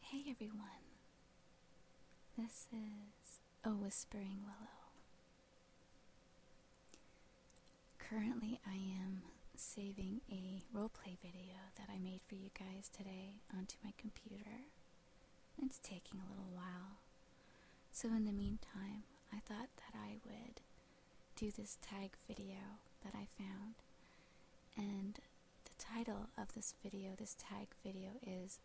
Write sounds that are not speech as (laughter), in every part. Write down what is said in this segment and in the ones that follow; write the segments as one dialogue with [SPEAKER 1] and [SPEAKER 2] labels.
[SPEAKER 1] Hey everyone, this is A Whispering Willow. Currently, I am saving a roleplay video that I made for you guys today onto my computer. It's taking a little while. So, in the meantime, I thought that I would do this tag video that I found and the title of this video, this tag video, is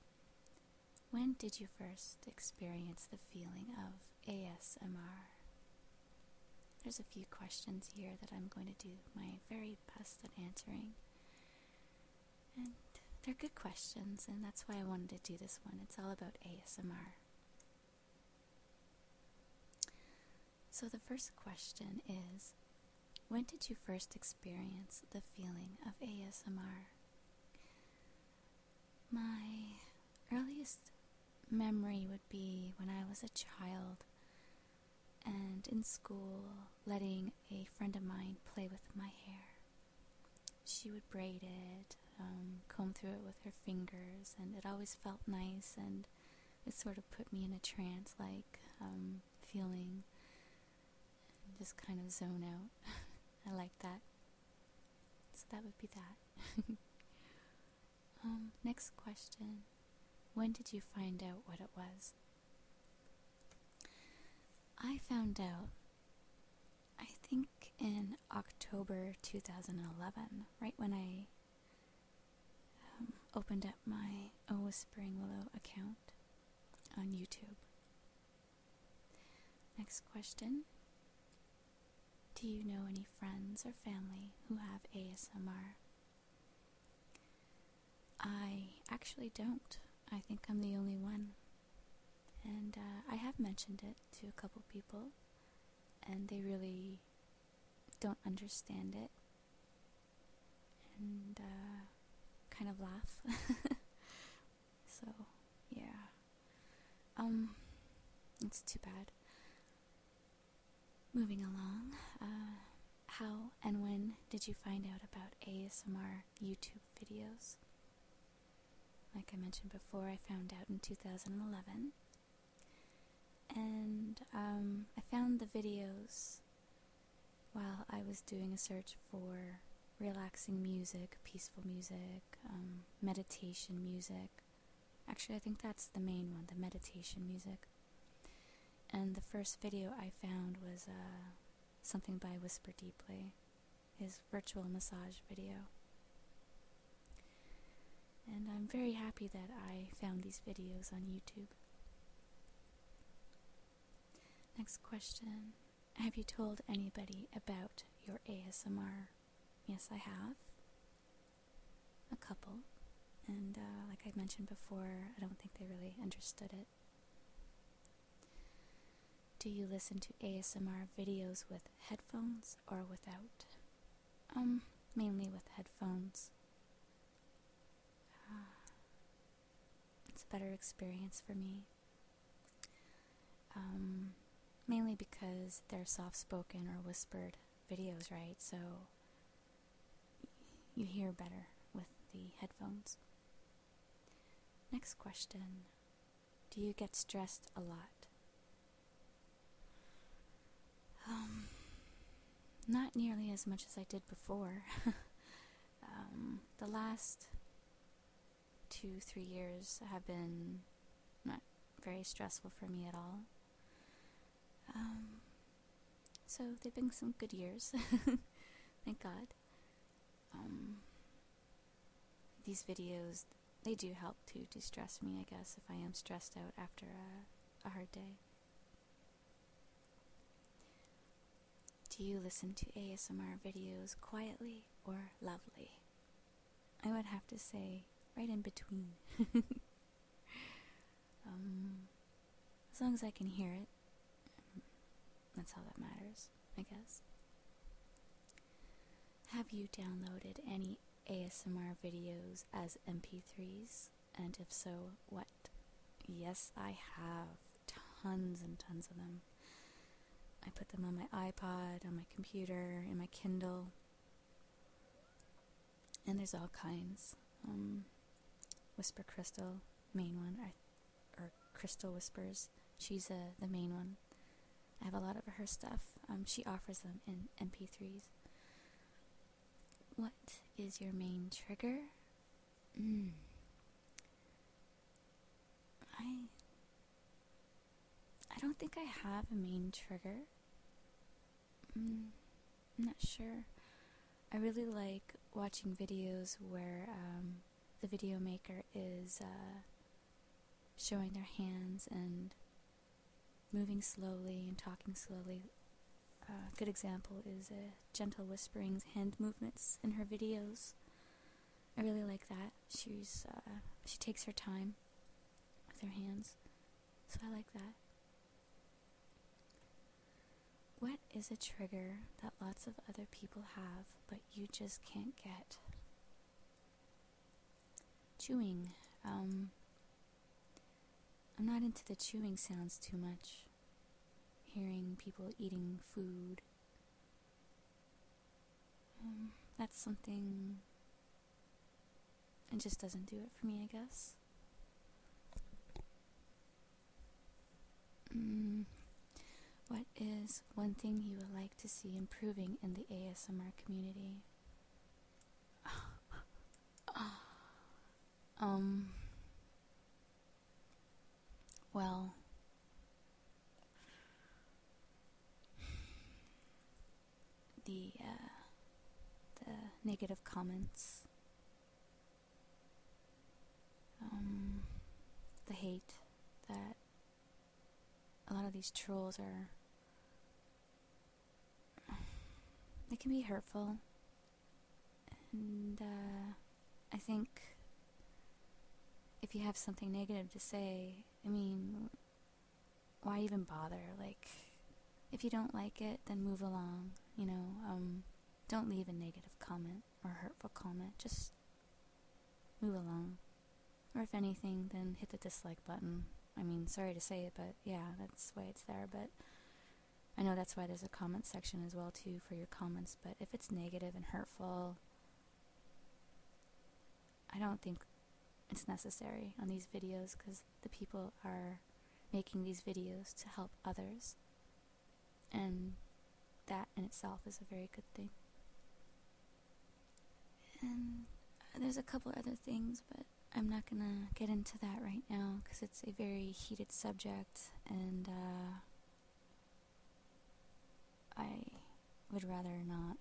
[SPEAKER 1] When Did You First Experience the Feeling of ASMR? There's a few questions here that I'm going to do my very best at answering. And they're good questions, and that's why I wanted to do this one. It's all about ASMR. So the first question is When did you first experience the feeling of ASMR? My earliest memory would be when I was a child and in school letting a friend of mine play with my hair. She would braid it, um, comb through it with her fingers, and it always felt nice and it sort of put me in a trance like um, feeling just kind of zone out. (laughs) I like that. So that would be that. (laughs) Um, next question. When did you find out what it was? I found out, I think in October 2011, right when I um, opened up my O Whispering Willow account on YouTube. Next question Do you know any friends or family who have ASMR? I actually don't. I think I'm the only one. And uh, I have mentioned it to a couple people, and they really don't understand it and uh, kind of laugh. (laughs) so, yeah. Um, it's too bad. Moving along, uh, how and when did you find out about ASMR YouTube videos? Like I mentioned before, I found out in 2011. And um, I found the videos while I was doing a search for relaxing music, peaceful music, um, meditation music. Actually, I think that's the main one, the meditation music. And the first video I found was uh, something by Whisper Deeply, his virtual massage video. And I'm very happy that I found these videos on YouTube. Next question Have you told anybody about your ASMR? Yes, I have. A couple. And uh, like I mentioned before, I don't think they really understood it. Do you listen to ASMR videos with headphones or without? Um, mainly with headphones. Ah. It's a better experience for me. Um, mainly because they're soft spoken or whispered videos, right? So you hear better with the headphones. Next question Do you get stressed a lot? Um, not nearly as much as I did before. (laughs) Um, the last two, three years have been not very stressful for me at all. Um, so they've been some good years. (laughs) Thank God. Um, these videos, they do help to de-stress me, I guess, if I am stressed out after a hard day. Do you listen to ASMR videos quietly or loudly? I would have to say right in between. (laughs) Um, as long as I can hear it, that's how that matters, I guess. Have you downloaded any ASMR videos as MP3s? And if so, what? Yes, I have tons and tons of them. I put them on my iPod, on my computer, in my Kindle. And there's all kinds. Um, Whisper Crystal, main one, or, Crystal Whispers. She's uh, the main one. I have a lot of her stuff. Um, she offers them in MP3s. What is your main trigger? Mm. I I don't think I have a main trigger. Mm, I'm not sure. I really like watching videos where um, the video maker is uh, showing their hands and moving slowly and talking slowly a good example is uh, Gentle Whispering's hand movements in her videos. I really like that. She's uh, she takes her time with her hands, so I like that. What is a trigger that lots of other people have but you just can't get? Chewing. Um, I'm not into the chewing sounds too much. Hearing people eating food. Um, that's something. It just doesn't do it for me, I guess. Mm, what is one thing you would like to see improving in the ASMR community? (laughs) Ah, um, well, the uh, the negative comments, um, the hate that a lot of these trolls are. They can be hurtful and uh, I think if you have something negative to say, I mean, why even bother? Like, if you don't like it, then move along, you know? Um, don't leave a negative comment or hurtful comment. Just move along. Or if anything, then hit the dislike button. I mean, sorry to say it, but yeah, that's why it's there. But I know that's why there's a comment section as well too for your comments, but if it's negative and hurtful, I don't think it's necessary on these videos because the people are making these videos to help others. And that in itself is a very good thing. And uh, there's a couple other things, but I'm not gonna get into that right now because it's a very heated subject and uh, I would rather not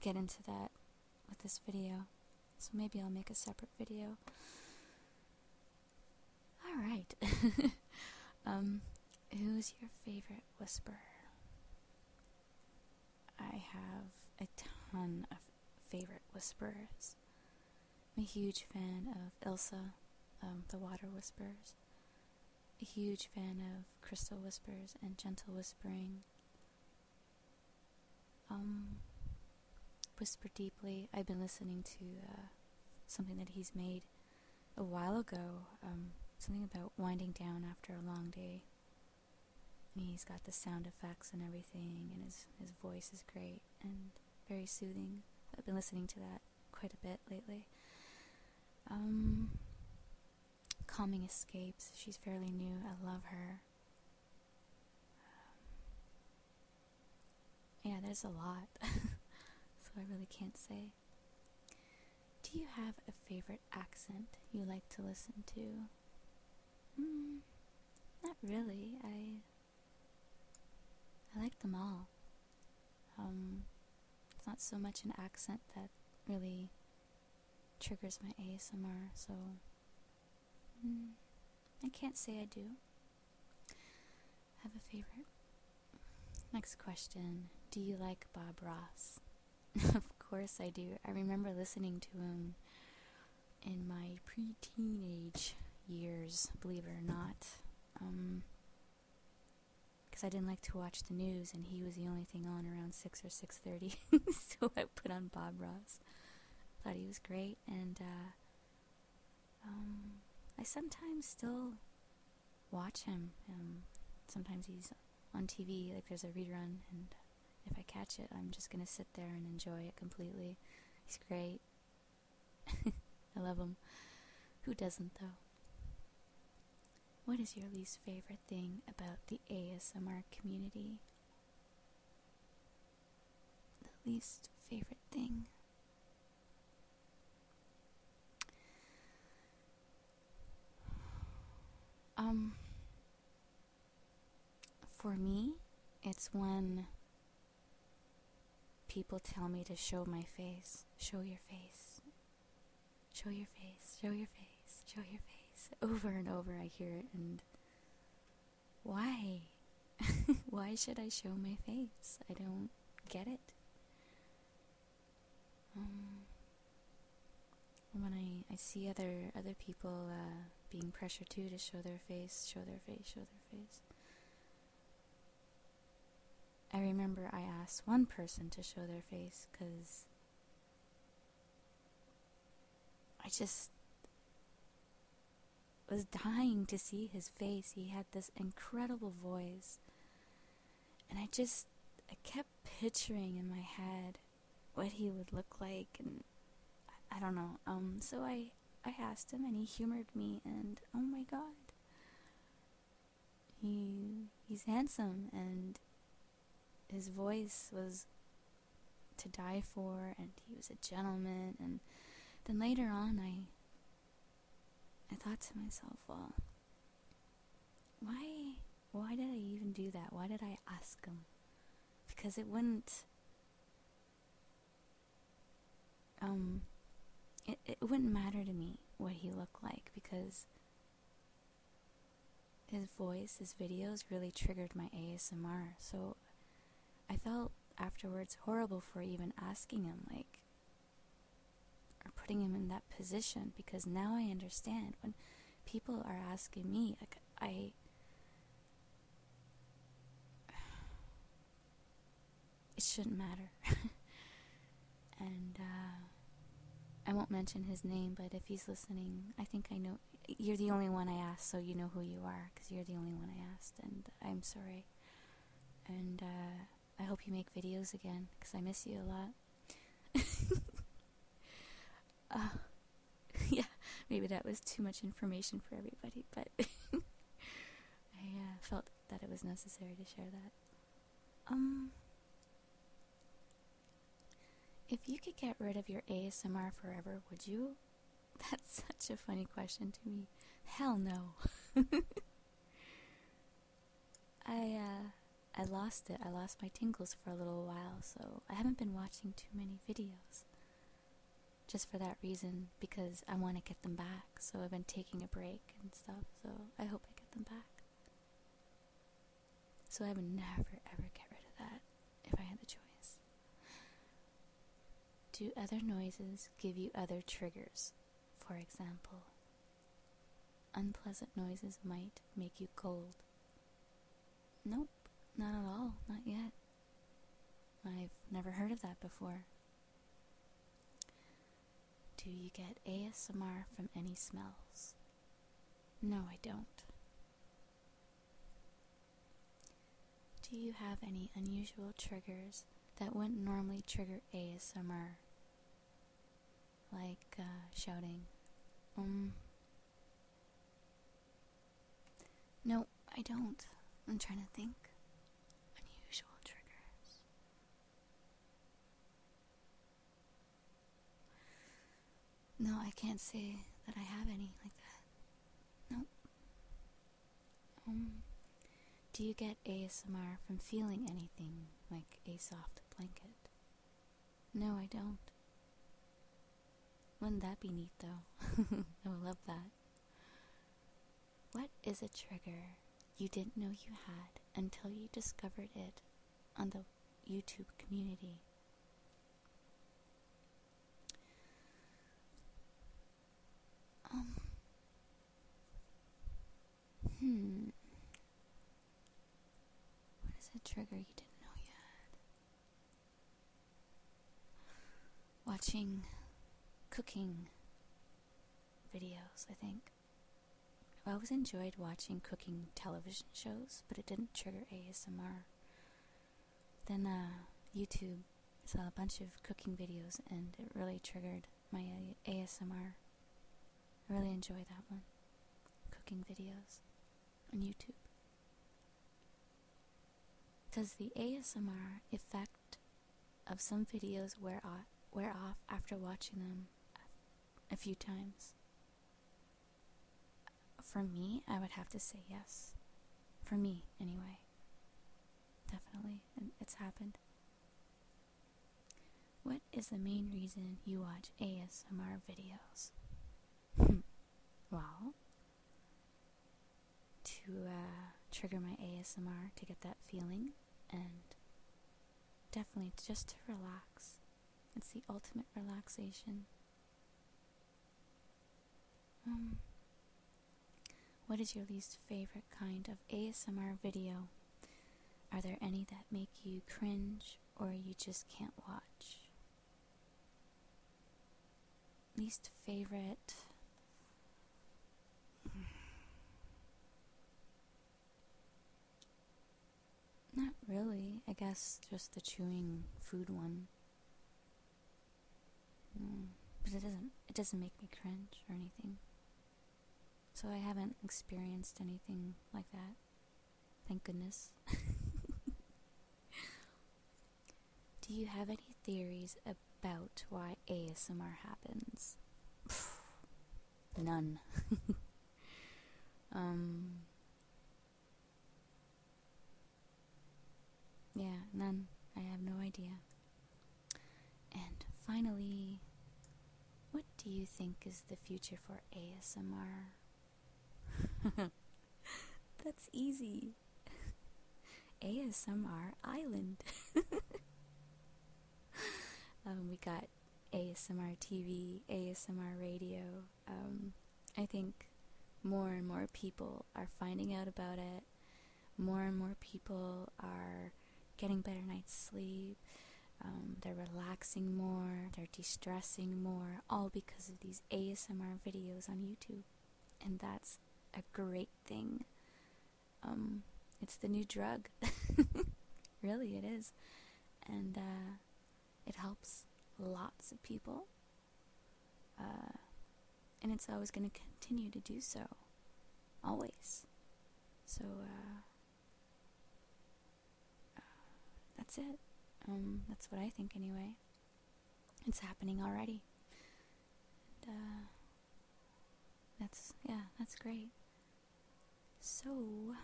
[SPEAKER 1] get into that with this video. So maybe I'll make a separate video. Alright. (laughs) Um, who's your favorite whisperer? I have a ton of favorite whisperers. I'm a huge fan of Ilsa, um, the Water Whispers. A huge fan of Crystal Whispers and Gentle Whispering. Um, Whisper Deeply. I've been listening to uh, something that he's made a while ago. Um, something about winding down after a long day. And he's got the sound effects and everything, and his his voice is great. And very soothing. I've been listening to that quite a bit lately. Um, calming Escapes. She's fairly new. I love her. Um, yeah, there's a lot, (laughs) so I really can't say. Do you have a favorite accent you like to listen to? Hmm, not really. I I like them all. Um, it's not so much an accent that really triggers my ASMR, so hmm, I can't say I do. Have a favorite? Next question Do you like Bob Ross? (laughs) of course I do. I remember listening to him in my pre teenage years, believe it or not um, because I didn't like to watch the news, and he was the only thing on around six or six thirty. (laughs) so I put on Bob Ross. Thought he was great, and uh, um, I sometimes still watch him. Um, sometimes he's on TV, like there's a rerun, and if I catch it, I'm just gonna sit there and enjoy it completely. He's great. (laughs) I love them. Who doesn't, though? What is your least favorite thing about the ASMR community? The least favorite thing. Um, for me, it's when People tell me to show my face, show your face, show your face, show your face, show your face. (laughs) Over and over I hear it, and why? (laughs) why should I show my face? I don't get it. Um, when I, I see other other people uh, being pressured too to show their face, show their face, show their face, I remember I asked one person to show their face because I just was dying to see his face. He had this incredible voice. And I just I kept picturing in my head what he would look like and I, I don't know. Um so I I asked him and he humored me and oh my god he he's handsome and his voice was to die for and he was a gentleman and then later on I I thought to myself, well, why why did I even do that? Why did I ask him? Because it wouldn't um it, it wouldn't matter to me what he looked like because his voice, his videos really triggered my ASMR. So I felt afterwards horrible for even asking him, like, or putting him in that position because now I understand when people are asking me, like, I it shouldn't matter. (laughs) and uh, I won't mention his name, but if he's listening, I think I know. You're the only one I asked, so you know who you are, because you're the only one I asked, and I'm sorry. And uh, I hope you make videos again, because I miss you a lot. (laughs) uh, (laughs) yeah, maybe that was too much information for everybody, but I uh, felt that it was necessary to share that. Um, if you could get rid of your ASMR forever, would you? (laughs) That's such a funny question to me. Hell no. (laughs) I uh, I lost it. I lost my tingles for a little while, so I haven't been watching too many videos. Just for that reason because I want to get them back so I've been taking a break and stuff, so I hope I get them back. So I would never ever get rid of that if I had the choice. Do other noises give you other triggers? For example, unpleasant noises might make you cold. Nope, not at all, not yet. I've never heard of that before. Do you get ASMR from any smells? No, I don't. Do you have any unusual triggers that wouldn't normally trigger ASMR? Like uh, shouting, um. No, I don't. I'm trying to think. Unusual triggers. No, I can't say that I have any like that. Nope. Um, do you get ASMR from feeling anything like a soft blanket? No, I don't. Wouldn't that be neat though? (laughs) I would love that. What is a trigger you didn't know you had until you discovered it on the YouTube community? Um, hmm. What is a trigger you didn't know you had? Watching cooking videos, I think. I've always enjoyed watching cooking television shows, but it didn't trigger ASMR. Then uh, YouTube saw a bunch of cooking videos, and it really triggered my uh, ASMR. I really enjoy that one. Cooking videos on YouTube. Does the ASMR affect of some videos wear off, after watching them a few times. For me, I would have to say yes. For me, anyway. Definitely, it's happened. What is the main reason you watch ASMR videos? (laughs) well, to uh, trigger my ASMR to get that feeling and Definitely just to relax. It's the ultimate relaxation. Um, what is your least favorite kind of ASMR video? Are there any that make you cringe or you just can't watch? Least favorite. Not really. I guess just the chewing food one. but it doesn't it doesn't make me cringe or anything. So I haven't experienced anything like that. Thank goodness. Do you have any theories about why ASMR happens? None. (laughs) Um, yeah, none. I have no idea. And finally, what do you think is the future for ASMR? (laughs) That's easy. ASMR (laughs) Island. (laughs) Um, we got ASMR TV, ASMR radio. Um, I think more and more people are finding out about it. More and more people are getting better night's sleep. Um, they're relaxing more, they're de stressing more, all because of these ASMR videos on YouTube. And that's a great thing um, it's the new drug. (laughs) really, it is. And uh, it helps lots of people. Uh, and it's always going to continue to do so. Always. So, uh, uh, that's it. Um, that's what I think, anyway. It's happening already. that's, yeah, that's great. So,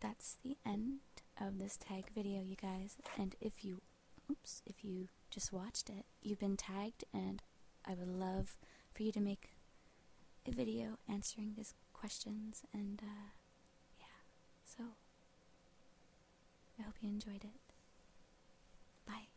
[SPEAKER 1] that's the end of this tag video, you guys. And if you, oops, if you just watched it, you've been tagged, and I would love for you to make a video answering these questions. And, uh, yeah. So, I hope you enjoyed it. Bye.